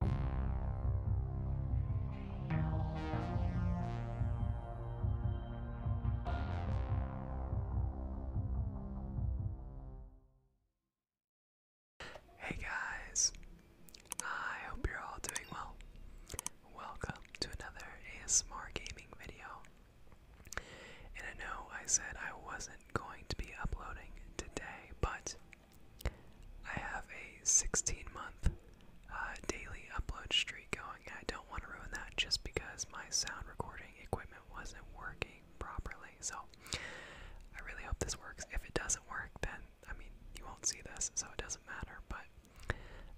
Hey guys, I hope you're all doing well. Welcome to another ASMR gaming video. And I know I said I wasn't going to be uploading today, but I have a 16 month uh, daily upload streak going, I don't want to ruin that just because my sound recording equipment wasn't working properly. So I really hope this works. If it doesn't work, then I mean, you won't see this, so it doesn't matter. But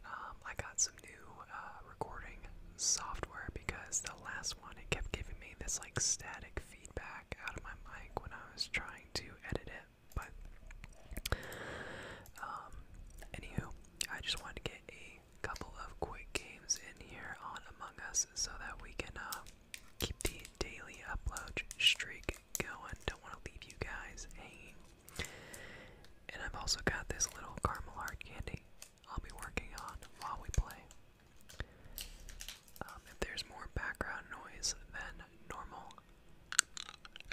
um, I got some new uh, recording software because the last one it kept giving me this like static feedback out of my mic when I was trying to edit it. But um, anywho, I just wanted to get a couple of quick games in here on Among Us so that we can uh, keep the daily upload streak going. Don't want to leave you guys hanging. And I've also got this little caramel hard candy I'll be working on while we play. Um, if there's more background noise than normal,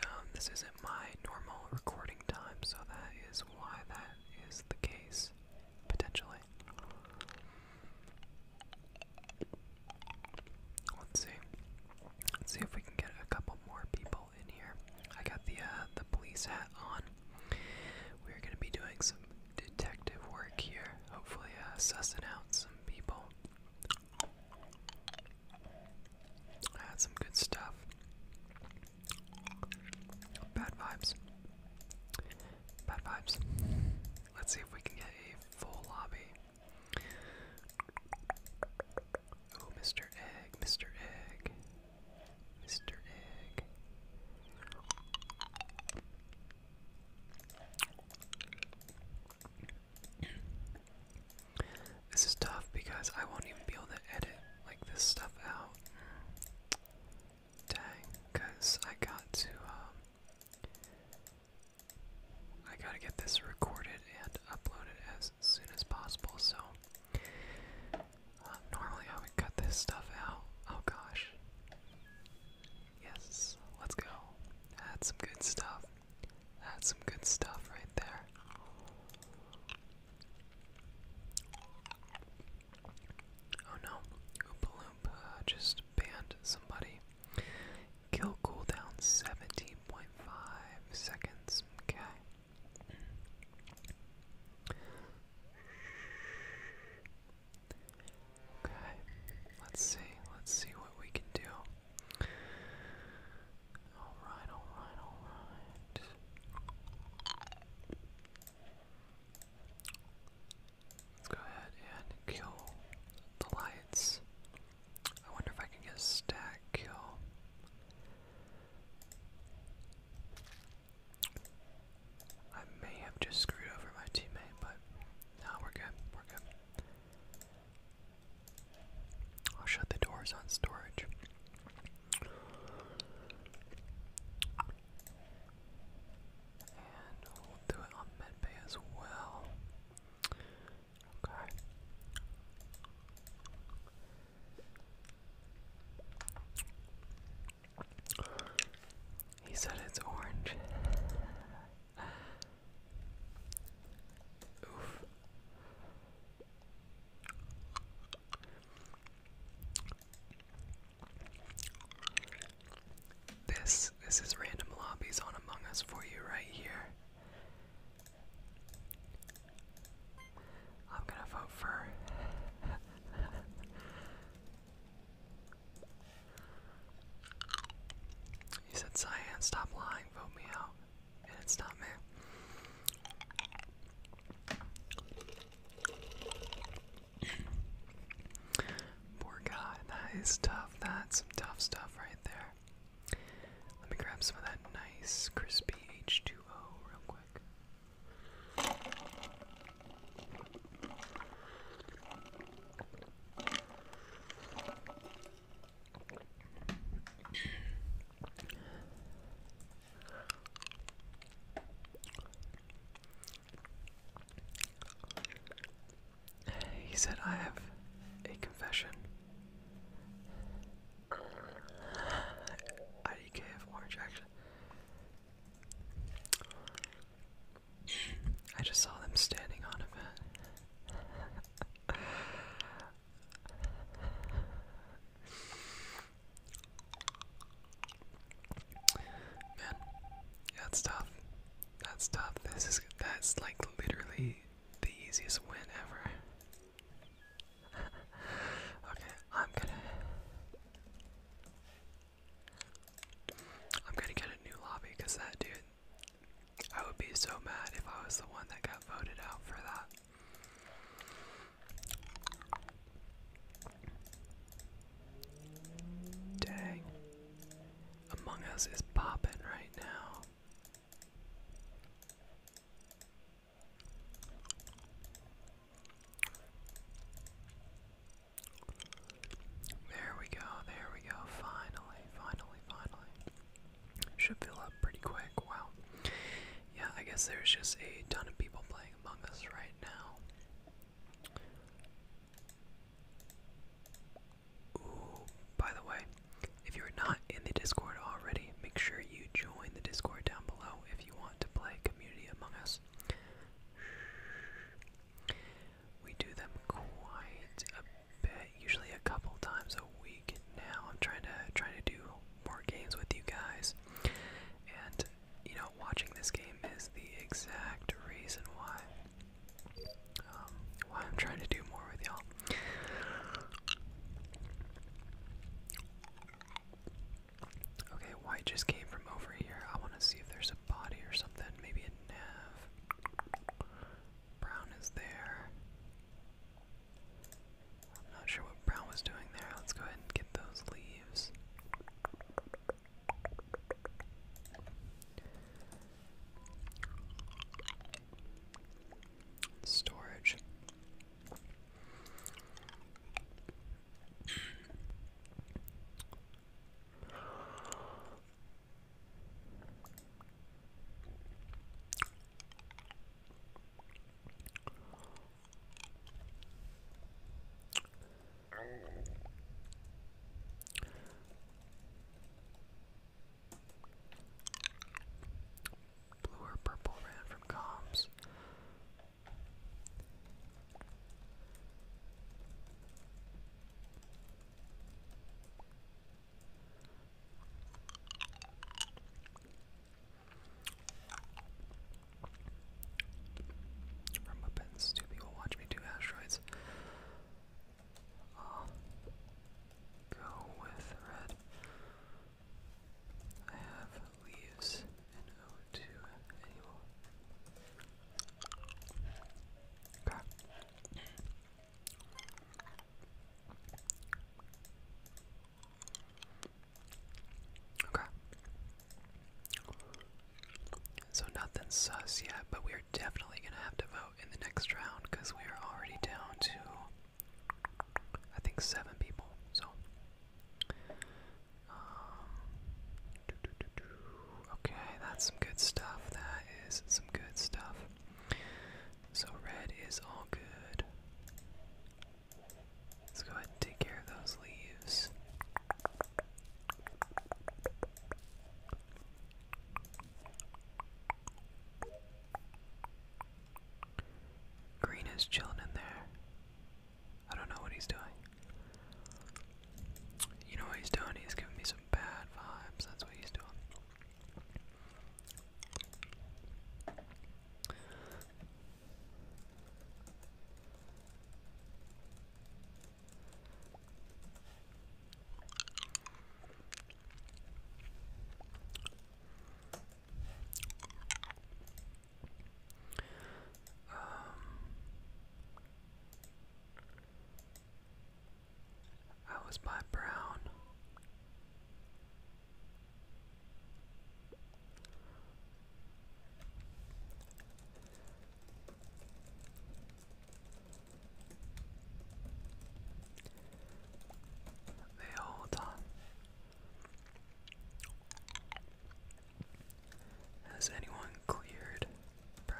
um, this isn't my normal recording time, so that is why that is the case, potentially. Let's see. Let's see if we can get a couple more people in here. I got the uh, the police hat on. We're gonna be doing some detective work here. Hopefully, uh, sussing out some people. That's some good stuff. Bad vibes. Bad vibes. Let's see if we can get a full lobby. Oh, Mr. Egg, Mr. Egg, Mr. Egg. This is tough because I won't even be able to edit like this stuff out. Dang, cause I got to um, I gotta get this recorded and uploaded as soon as possible, so uh, normally I would cut this stuff out. Oh gosh. Yes, let's go. That's some good stuff. That's some good stuff right there. Oh no, Oompa just banned somebody. Kill cooldown 17.5 seconds. Okay. Okay, let's see. Let's see what we can do. Alright, alright, alright. Let's go ahead and kill the lights. I wonder if I can get a stack kill. I may have just screwed over my teammate, but no, we're good. We're good. I'll shut the doors on storage. And we'll do it on medbay as well. Okay. He said it's orange. This this is random lobbies on Among Us for you right here. I'm gonna vote for You said Cyan, stop lying, vote me out it's not me. Poor guy, that is tough. That's some tough stuff right there. Let me grab some of that nice crispy H2O real quick. He said, I have a confession. IDK of orange action. I just saw them standing on a vent. Man, that's tough. That's tough. This is that's like literally the easiest win ever. okay, I'm gonna I'm gonna get a new lobby because that dude I would be so mad if I was the one that got voted out for that. Dang. Among Us is popping right now. There we go, there we go, finally, finally, finally. Should fill up pretty quick. Wow. Yeah, I guess there's just a ton of people playing Among Us right now. Ooh, by the way, if you're not in the Discord already, make sure you join the Discord down below if you want to play Community Among Us. We do them quite usually a couple times a week now. I'm trying to trying to do more games with you guys, and you know, watching this game is the exact reason why um, why I'm trying to do more with y'all. Okay, white just came from over here. I want to see if there's a body or something. Maybe a nav. Brown is there. I'm not sure what Brown was doing there. Let's go ahead and get those leaves. Storage. Blue or purple ran from comms. From Muppets, two people watch me do asteroids. Uh, go with red. I have leaves and O2 Okay. So nothing sus yet, but we are definitely gonna have to vote in the next round because we are already down to I think seven people. So um, okay, that's some good stuff. That is some good stuff. So red is all good. Let's go ahead and take care of those leaves. Green is chilling in there. I don't know what he's doing. You know what he's doing? He's giving me some bad vibes. That's what he's doing. Um, I was by Brown. They hold on. Has anyone cleared Brown?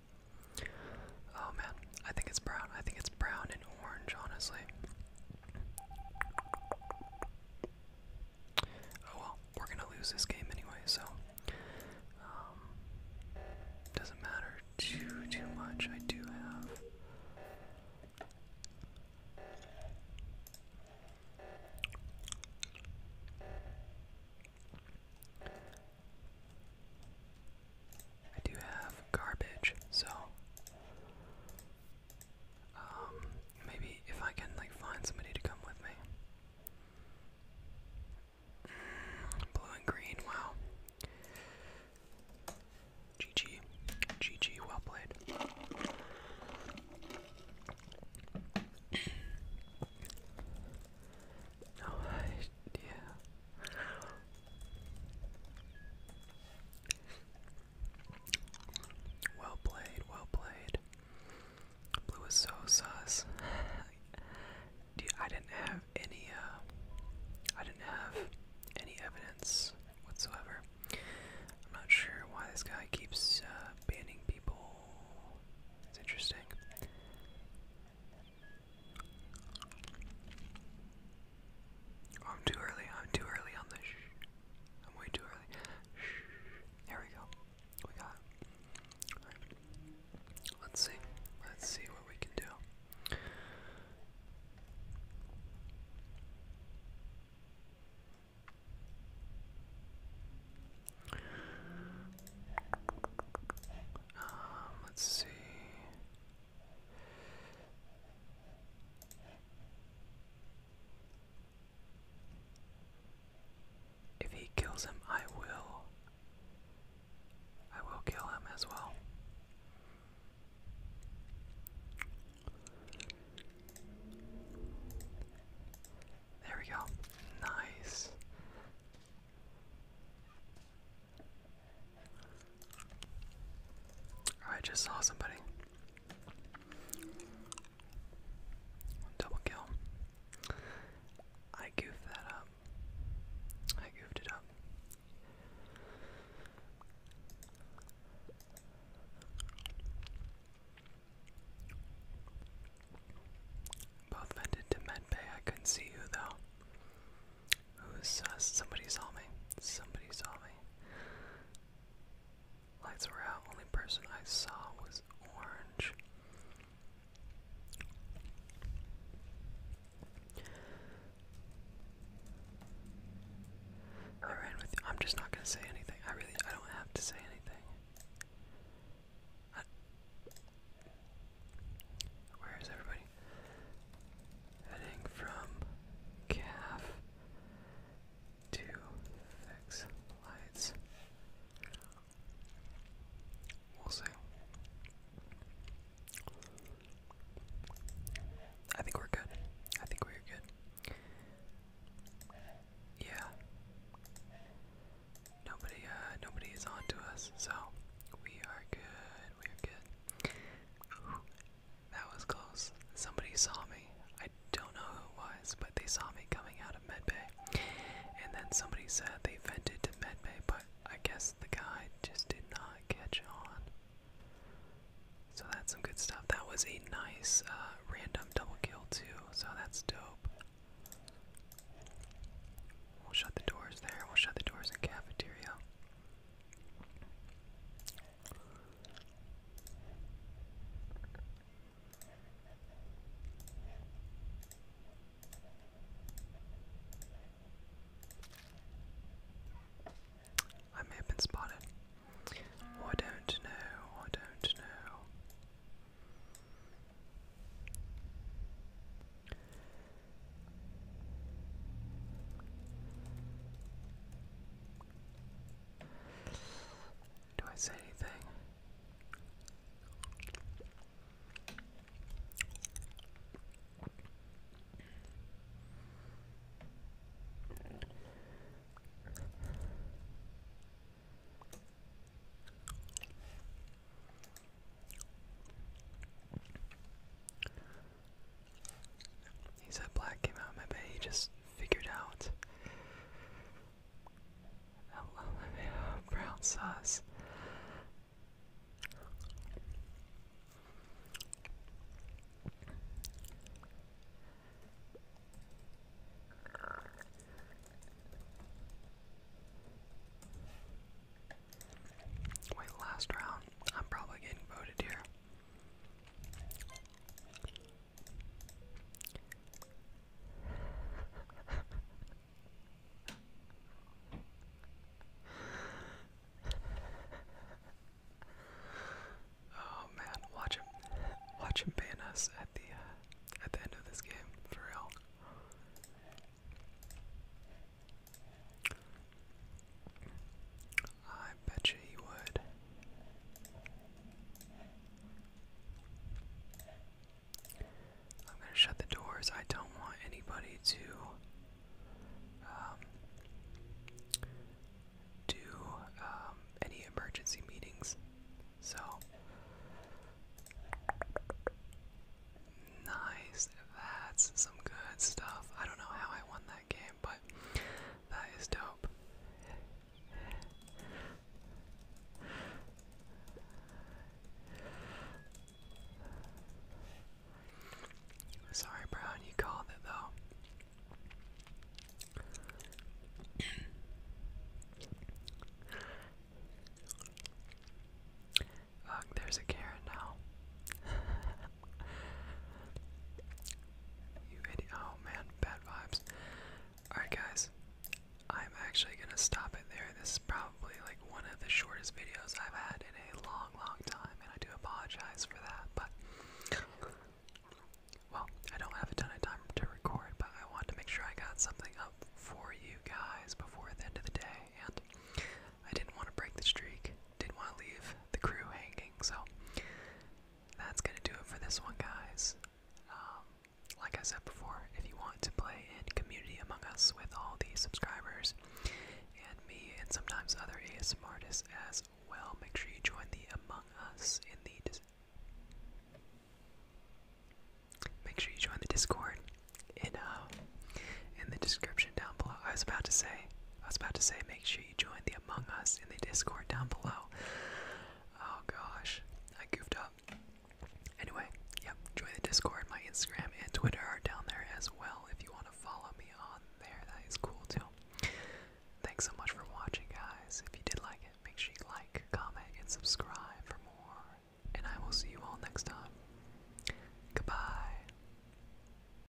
Oh man, I think it's brown. I think it's brown and orange, honestly. Oh well, we're gonna lose this game anyway, so um, doesn't matter too too much. I do have. I do have garbage, so um, maybe if I can like find somebody to come with me. Mm, blue and green, wow. GG. GG, well played. no, I, well played, well played. Blue is so sus. I didn't have any, uh, I didn't have any evidence whatsoever. I'm not sure why this guy keeps uh, banning people. It's interesting. Oh, I'm too early. I'm too early on this. I'm way too early. Here we go. We got right. Let's see. Let's see what we can do. Um, let's see. If he kills him, I will. I will kill him as well. There we go. Nice. Oh, I just saw somebody. Double kill. I goofed that up. I goofed it up. Both vented to medbay. I couldn't see you though. Who's sus? Uh, somebody saw me. Somebody saw me. Lights were out. Only person I saw was orange. I ran with. I'm just not gonna say anything. I really. I don't have to say anything. Where is everybody? Heading from calf to fix lights. We'll see. I think we're good. I think we're good. Yeah. Nobody uh nobody is on to us, so we are good. We are good. That was close. Somebody saw me. I don't know who it was, but they saw me coming out of medbay. And then somebody said they vented to medbay, but I guess the guy just did not catch on. So that's some good stuff. That was a nice uh, random double kill too, so that's dope. We'll shut the doors there. We'll shut the doors in cafeteria. I may have been spotted. Oh, I don't know. I don't know. Do I say anything? He said black came out, of my maybe he just figured out. Brown sauce. Wait, last round. I'm probably getting voted here. oh man, watch him, watch him ban us at the uh, at the end of this game for real. I bet you he would. I'm gonna shut the doors. I don't want anybody to um, do um, any emergency meetings. So nice. That's some good stuff. I don't know how I won but that is dope. Sorry, Brown, you called it though. Ugh, there's a Karen now. you idiot. Oh man, bad vibes. Alright, guys, I'm actually gonna stop it there. This is probably like one of the shortest videos I've had in a long, long time, and I do apologize for that, but. Well, I don't have a ton of time to record, but I wanted to make sure I got something up for you guys before the end of the day, and I didn't want to break the streak, didn't want to leave the crew hanging, so that's going to do it for this one, guys. Um, like I said before, if you want to play in Community Among Us with all the subscribers and me and sometimes other ASMR artists as well, make sure you join the Among Us in the Make sure you join the Discord in uh in the description down below. I was about to say, I was about to say, make sure join the Among Us in the Discord down below. Oh gosh, I goofed up. Anyway, yep, join the Discord. My Instagram and Twitter are down there as well if you want to follow me on there. That is cool too. Thanks so much for watching, guys. If you did like it, make sure you like, comment, and subscribe for more. And I will see you all next time. Goodbye.